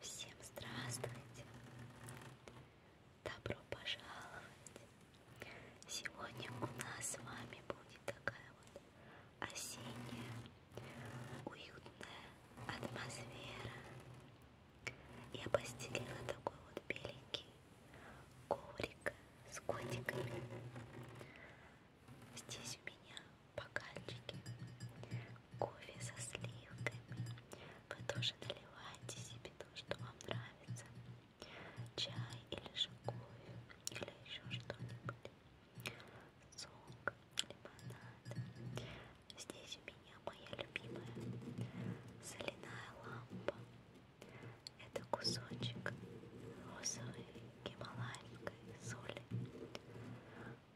Всем здравствуйте! Добро пожаловать! Сегодня у нас с вами будет такая вот осенняя, уютная атмосфера. Я постелила такой вот беленький коврик с котиками. Здесь у меня бокальчики кофе со сливками. Вы тоже наливаете себе то, что вам нравится. Чай или же кофе, или еще что-нибудь. Сок, лимонад. Здесь у меня моя любимая соляная лампа. Это кусочек розовой гималайской соли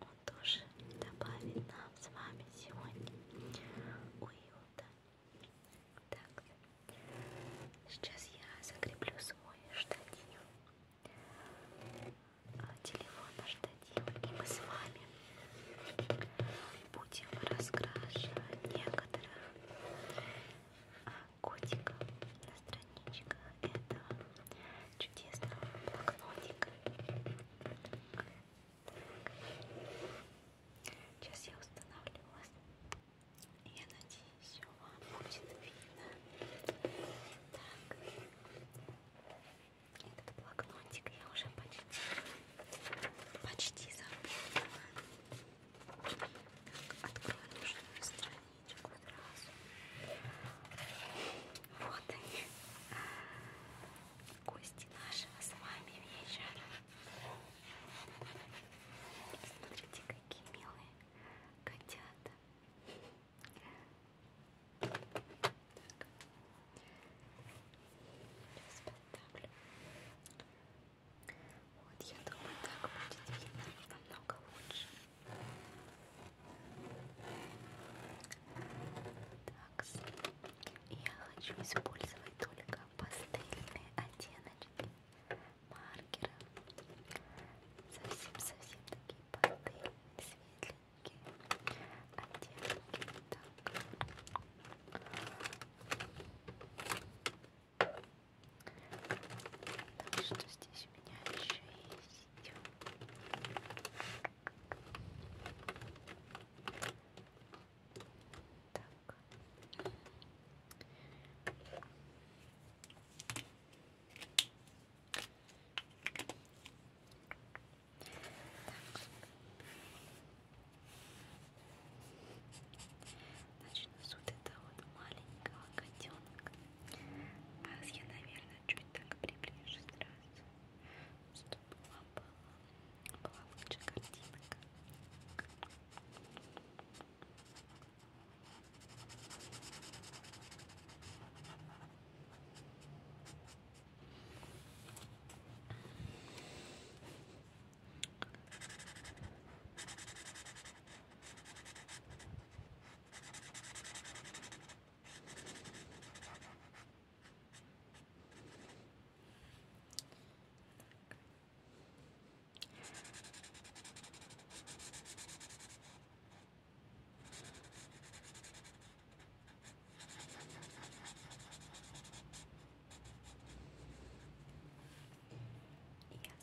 он тоже добавит нам с вами сегодня уюта. Так, сейчас я закреплю свой штатив, а, телефон на штатив, и мы с вами будем раскрашивать некоторых а, котиков на страничках этого чудесного блокнотика. Так. Сейчас я установлю вас. Я надеюсь, все вам будет видно. Так. Этот блокнотик я уже почти, почти забыла. Так, открою нужную страницу яичек сразу. Вот они. Гости нашего а с вами вечера. Смотрите, какие милые котята. Так. Сейчас поставлю. Вот я думаю, так будет видно намного лучше. Так, я хочу использовать только пастельные оттеночки маркера. Совсем-совсем такие пастельные, светленькие оттенки. Так. Потому что здесь у меня еще есть так. Значит, у нас вот это вот маленького котенка. Вас я, наверное, чуть так приближу сразу, чтобы вам была, была лучше картинка. Итак, я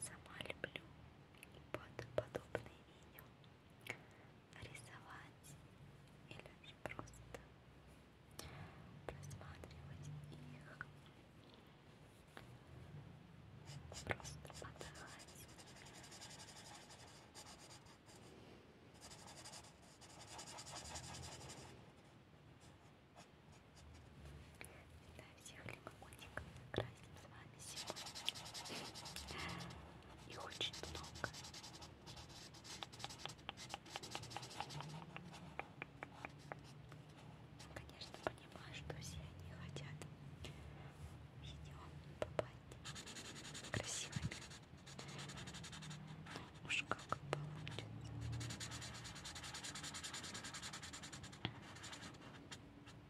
сама люблю под подобные видео рисовать или просто просматривать их, просто подавать. Всегда всех лимончиков красим с вами. Спасибо. Их очень много. Конечно, понимаю, что все они хотят видео попасть красивыми. Но ну, уж как получится.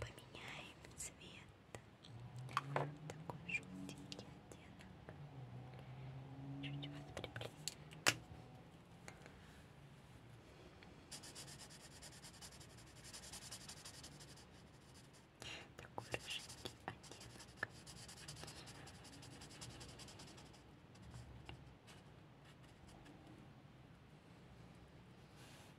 Поменяем цвет. Такой желтенький оттенок. Чуть подкрепление. Такой рыженький оттенок.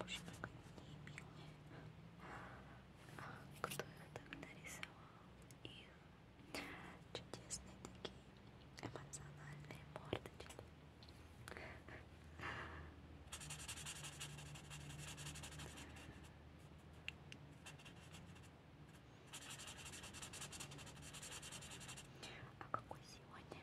Боже мой, какие милые. Кто их так нарисовал? Их чудесные такие эмоциональные мордочки. А какой сегодня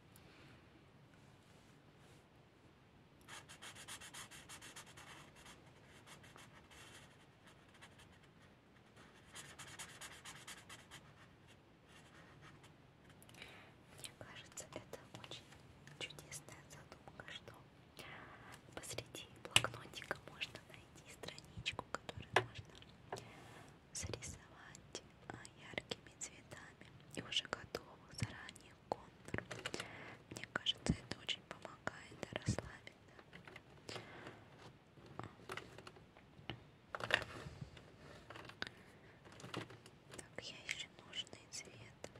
Мне кажется, это очень чудесная задумка, что посреди блокнотика можно найти страничку, которую можно срисовать а, яркими цветами и уже готовых заранее контур. Мне кажется, это очень помогает расслабиться. Так, я еще нужный цвет.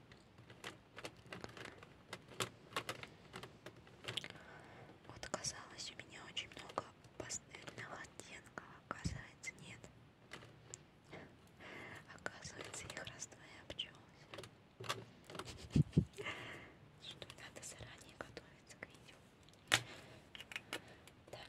Вот казалось, у меня очень много пастельных оттенков, а оказывается, нет. Оказывается, их разные пчелы. Что надо заранее готовиться к видео. Так. Так,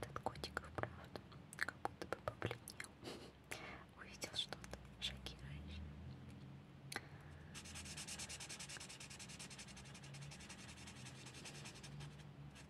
Этот котик, правда, как будто бы побледнел. Увидел что-то шокирующее.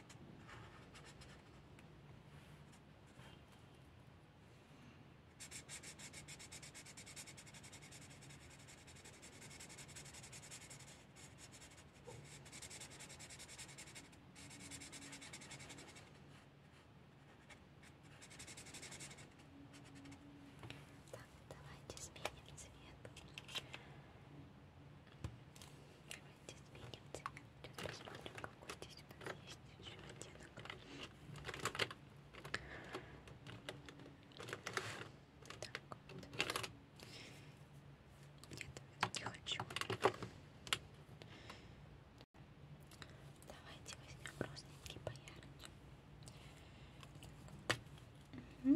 Так, давайте сменим цвет. Давайте сменим цвет. Сейчас посмотрим, какой здесь у нас есть еще оттенок. Так вот. Нет, не хочу. Давайте возьмем простенький поярче. Угу.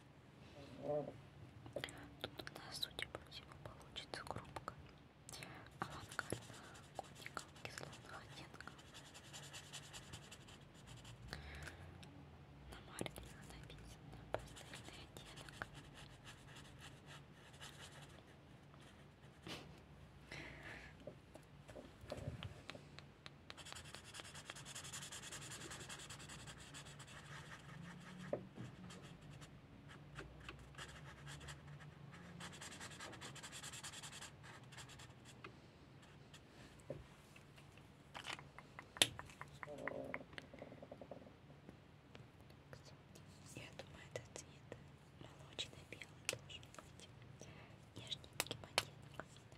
Тут у нас, судя по всему, получится группка авангардного конника кислотных оттенков. На маркере написано пастельный оттенок. Я думаю, этот цвет молочно-белый должен быть. Нежненький монеток.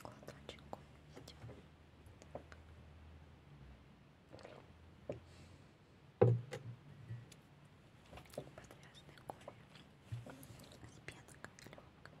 кладочку Подряжный кофе с пенкой легкой. Так.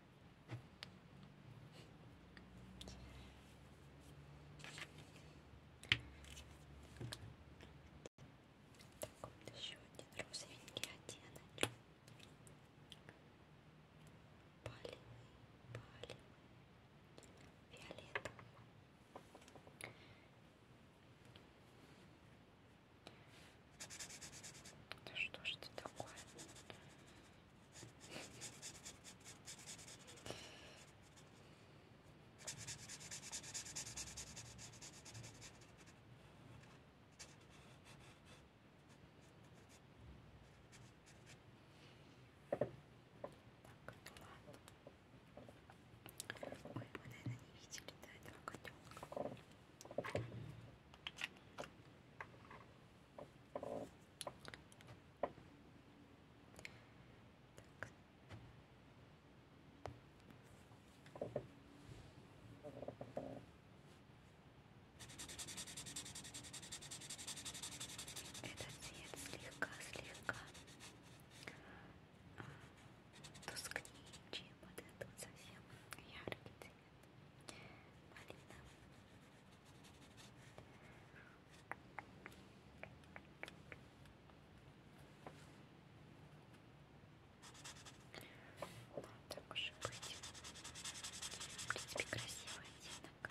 Так, вот еще один розовенький оттенок. Палевый, палевый, фиолетовый. Да что ж это такое? Так, ладно. Ой, вы, наверное, не видели, да, этого котенка. Этот цвет слегка-слегка тускнее, чем вот этот совсем яркий цвет. Малина. Ну, так уж и быть. В принципе, красивый оттенок.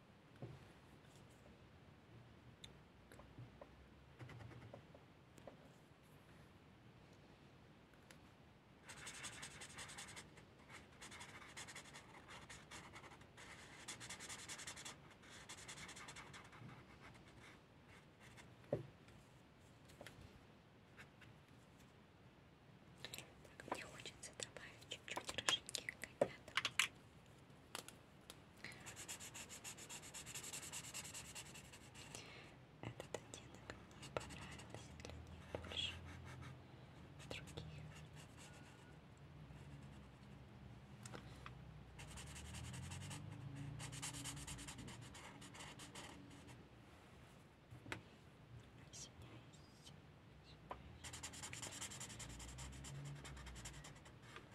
Так, мне хочется добавить чуть-чуть рыженьких котят. Этот оттенок мне понравился для них больше других. Извиняюсь.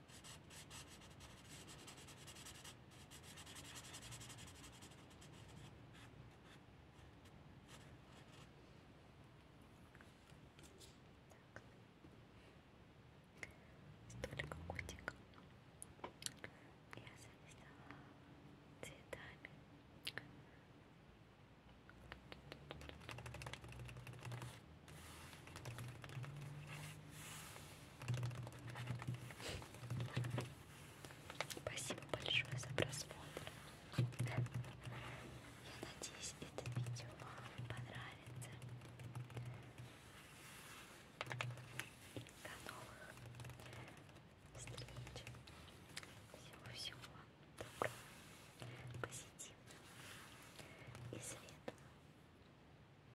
Столько котиков я завязала цветами. Тут Спасибо большое за просмотр. Я надеюсь, это видео вам понравится. До новых встреч. Всего-всего вам доброго, позитивного и светлого.